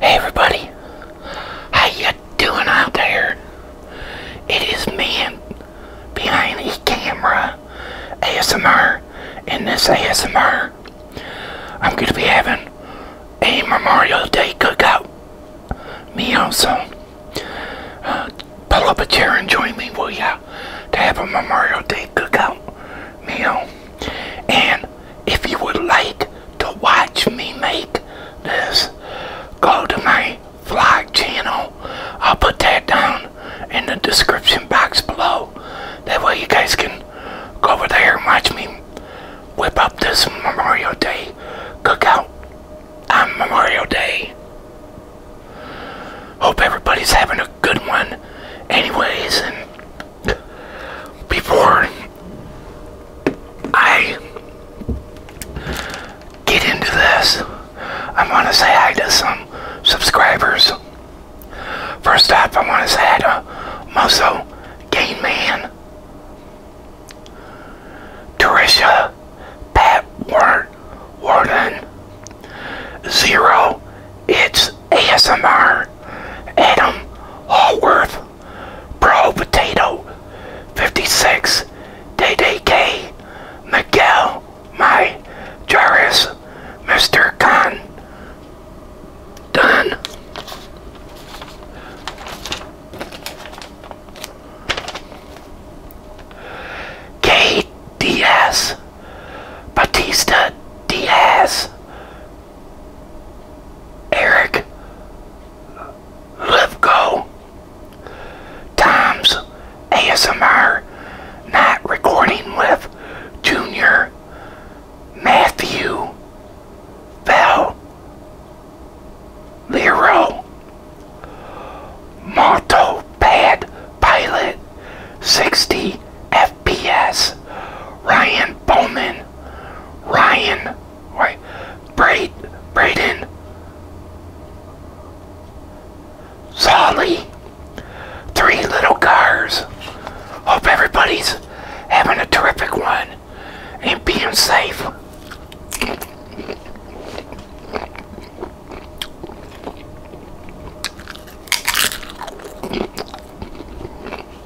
Hey everybody, how you doing out there? It is me behind the camera ASMR. and this ASMR, I'm going to be having a Memorial Day cookout Me so uh, pull up a chair and join me, will ya? To have a Memorial Day cookout me oh. And if you would like to watch me make this, go to my vlog channel. I'll put that down in the description box below. That way you guys can go over there and watch me whip up this Memorial Day cookout on Memorial Day. Hope everybody's having a good one anyways before I get into this, I want to say hi to some subscribers. First off, I want to say hi to Musso Game Man, Teresha, Pat War Warden, Zero, It's ASMR, Adam Hallworth, Pro Potato 56, DDK, Miguel, My Jarvis, Mr. Khan, Done. Diaz Batista Diaz, Eric let's go. Times, ASMR Not Recording with Junior Matthew Bell Lero Moto Pad Pilot 60 F P.S. Ryan Bowman, Ryan, wait, Braid, Braden, Solly, three little cars. Hope everybody's having a terrific one and being safe.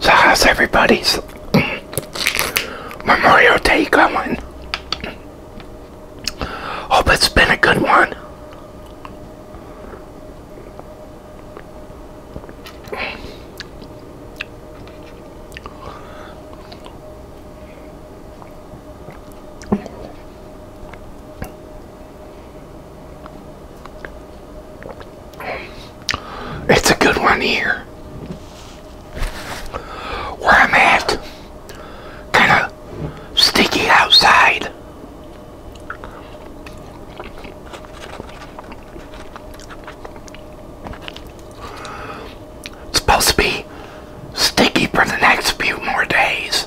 So how's everybody's Memorial Day going? Hope it's been a good one. It's a good one here. Where I'm at. Kind of sticky outside. supposed to be sticky for the next few more days.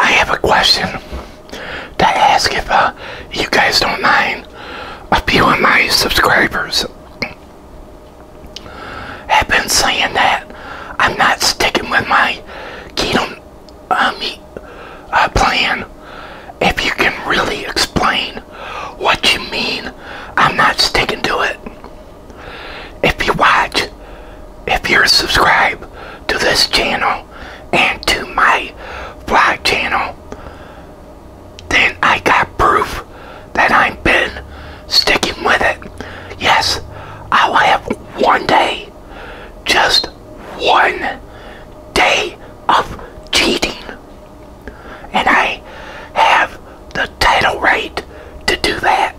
I have a question to ask if uh, you guys don't mind a few of my subscribers have been saying that I'm not sticking with my keto uh, meat uh, plan. If you can really explain what you mean, I'm not sticking to it. If you watch, if you're subscribed to this channel and to my vlog channel, then I got proof that I've been sticking with it. Yes, I'll have one day, just one day of cheating. And I have the title right to do that.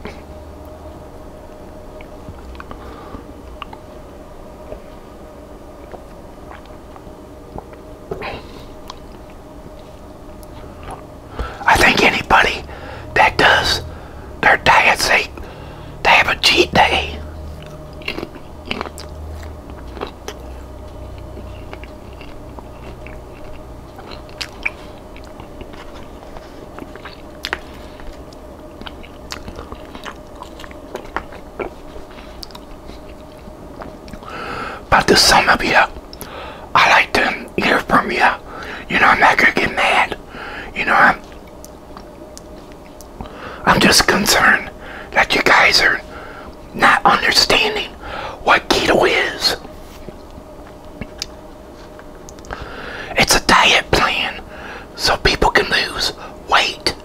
I think anybody that does their diet, they, they have a cheat day. But to some of you, I like to hear from you. You know, I'm not going to get mad. You know, I'm, I'm just concerned that you guys are not understanding what keto is. It's a diet plan so people can lose weight.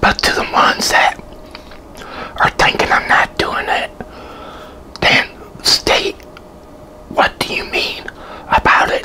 But to the ones that are thinking I'm not doing it, then state what do you mean about it?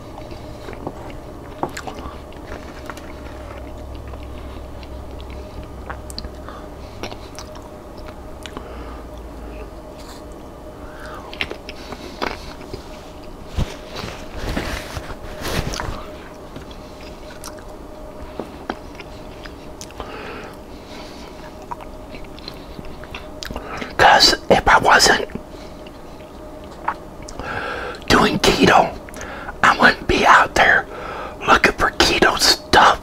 Because if I wasn't doing keto, I wouldn't be out there looking for keto stuff.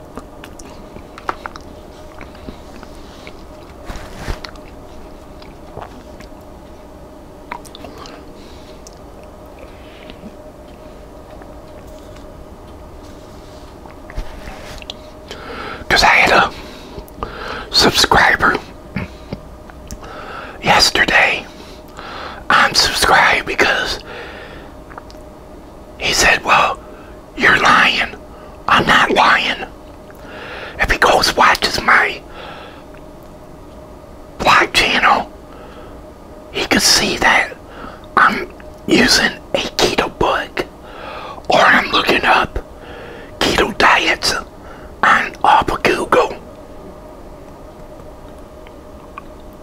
Because I had a subscriber yesterday I'm subscribed because he said, Well, you're lying. I'm not lying. If he goes watches my blog channel, he could see that I'm using a keto book or I'm looking up keto diets on off Google.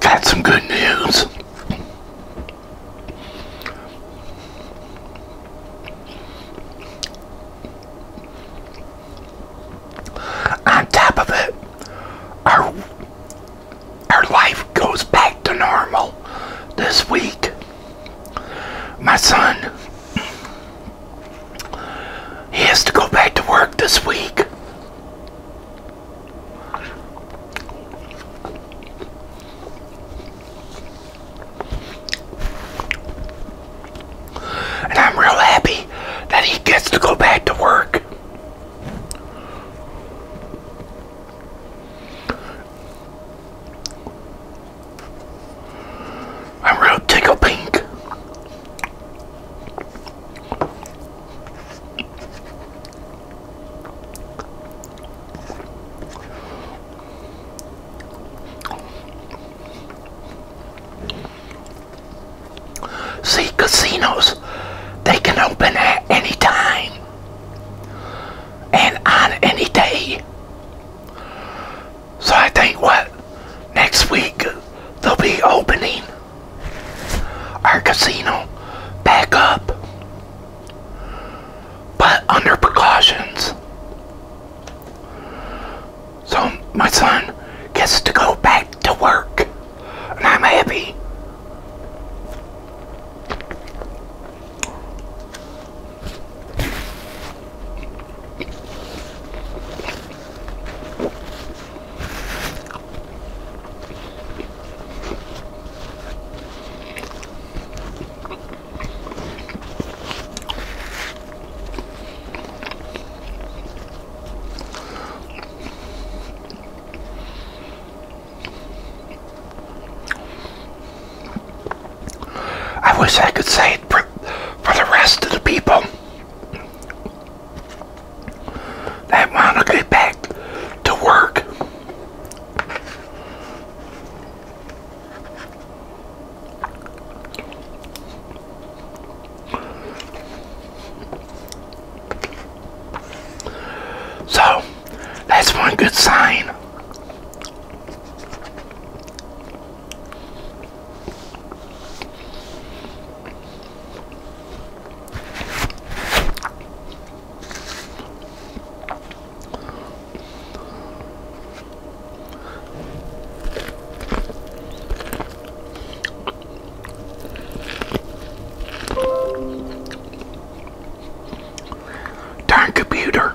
Got some good news. On top of it, our our life goes back to normal this week. My son, he has to go back to work this week. And I'm real happy that he gets to go back to work. I'm real tickle pink. See, casinos, they can open at any time and on any day. So I think what next week they'll be opening our casino back up, but under precautions. So my son gets to go back to work, and I'm happy. I wish I could say it for, the rest of the people that want to get back to work. So, that's one good sign. Darn computer.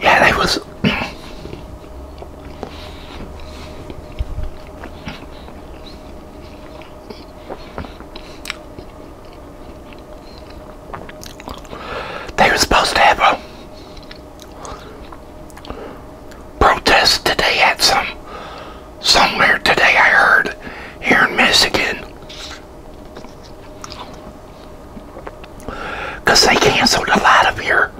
Yeah, that was. they were supposed to have a protest today at some somewhere today I heard here in Michigan. Because they canceled a lot of your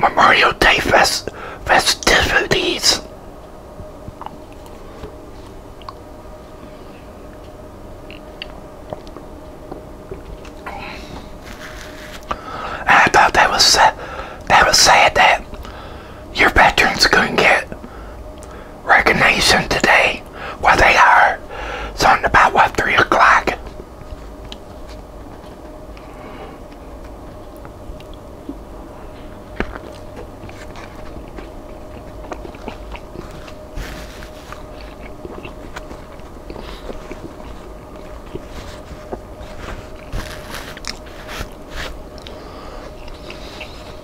Memorial Day fest festivities. I thought that was sad. That was sad that your veterans couldn't get recognition today. Where they are. It's on about, what, 3 o'clock?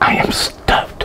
I am stuffed.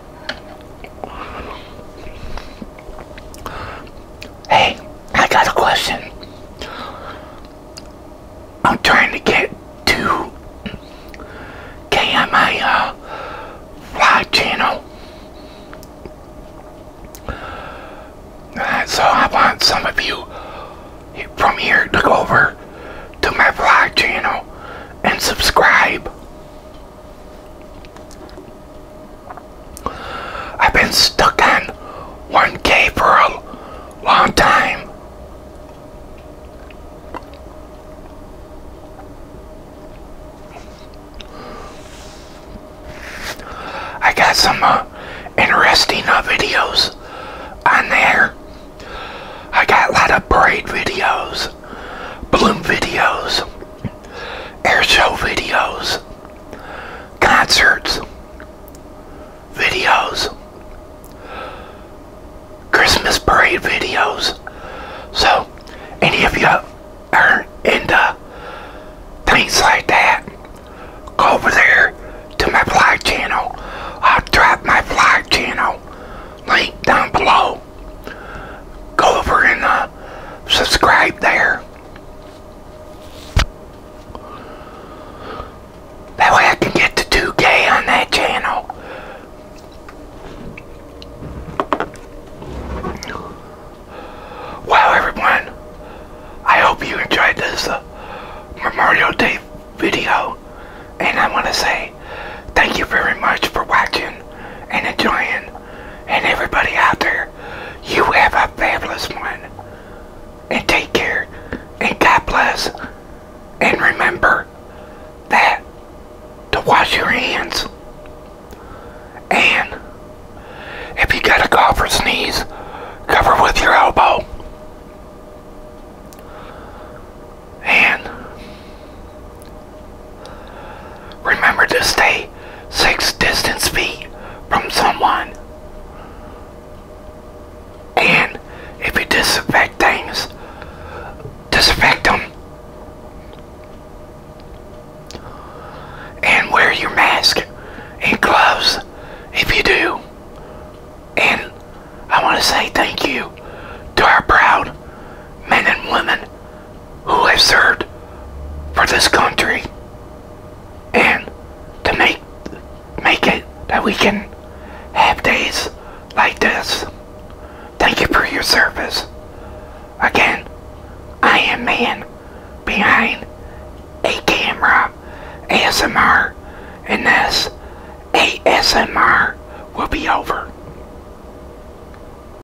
Hey, I got a question. I'm trying to get to KMI uh, live channel. Uh, so I want some of you from here to go over to my vlog channel and subscribe. I've been stuck on 1K for a long time. I got some uh, interesting uh, videos on there. I got a lot of braid videos, bloom videos air show videos, concerts, videos, Christmas parade videos. So, any of you are into things like that, go over there to my vlog channel. I'll drop my vlog channel link down below go over and uh, subscribe there. That way I can get to 2K on that channel. Well, everyone, I hope you enjoyed this uh, Memorial Day video. And I want to say thank you very much for watching and enjoying and everybody out there, you have a fabulous one. And take care. And God bless. And remember that to wash your hands. And if you got a cough or sneeze, cover with your elbow. And Remember to stay six distance feet from someone. And if you disinfect things, disinfect them. And wear your mask and gloves if you do. And I want to say thank you to our proud men and women who have served for this country and to make make it that we can have days like this. Thank you for your service. Again, I am man behind a camera ASMR and this ASMR will be over.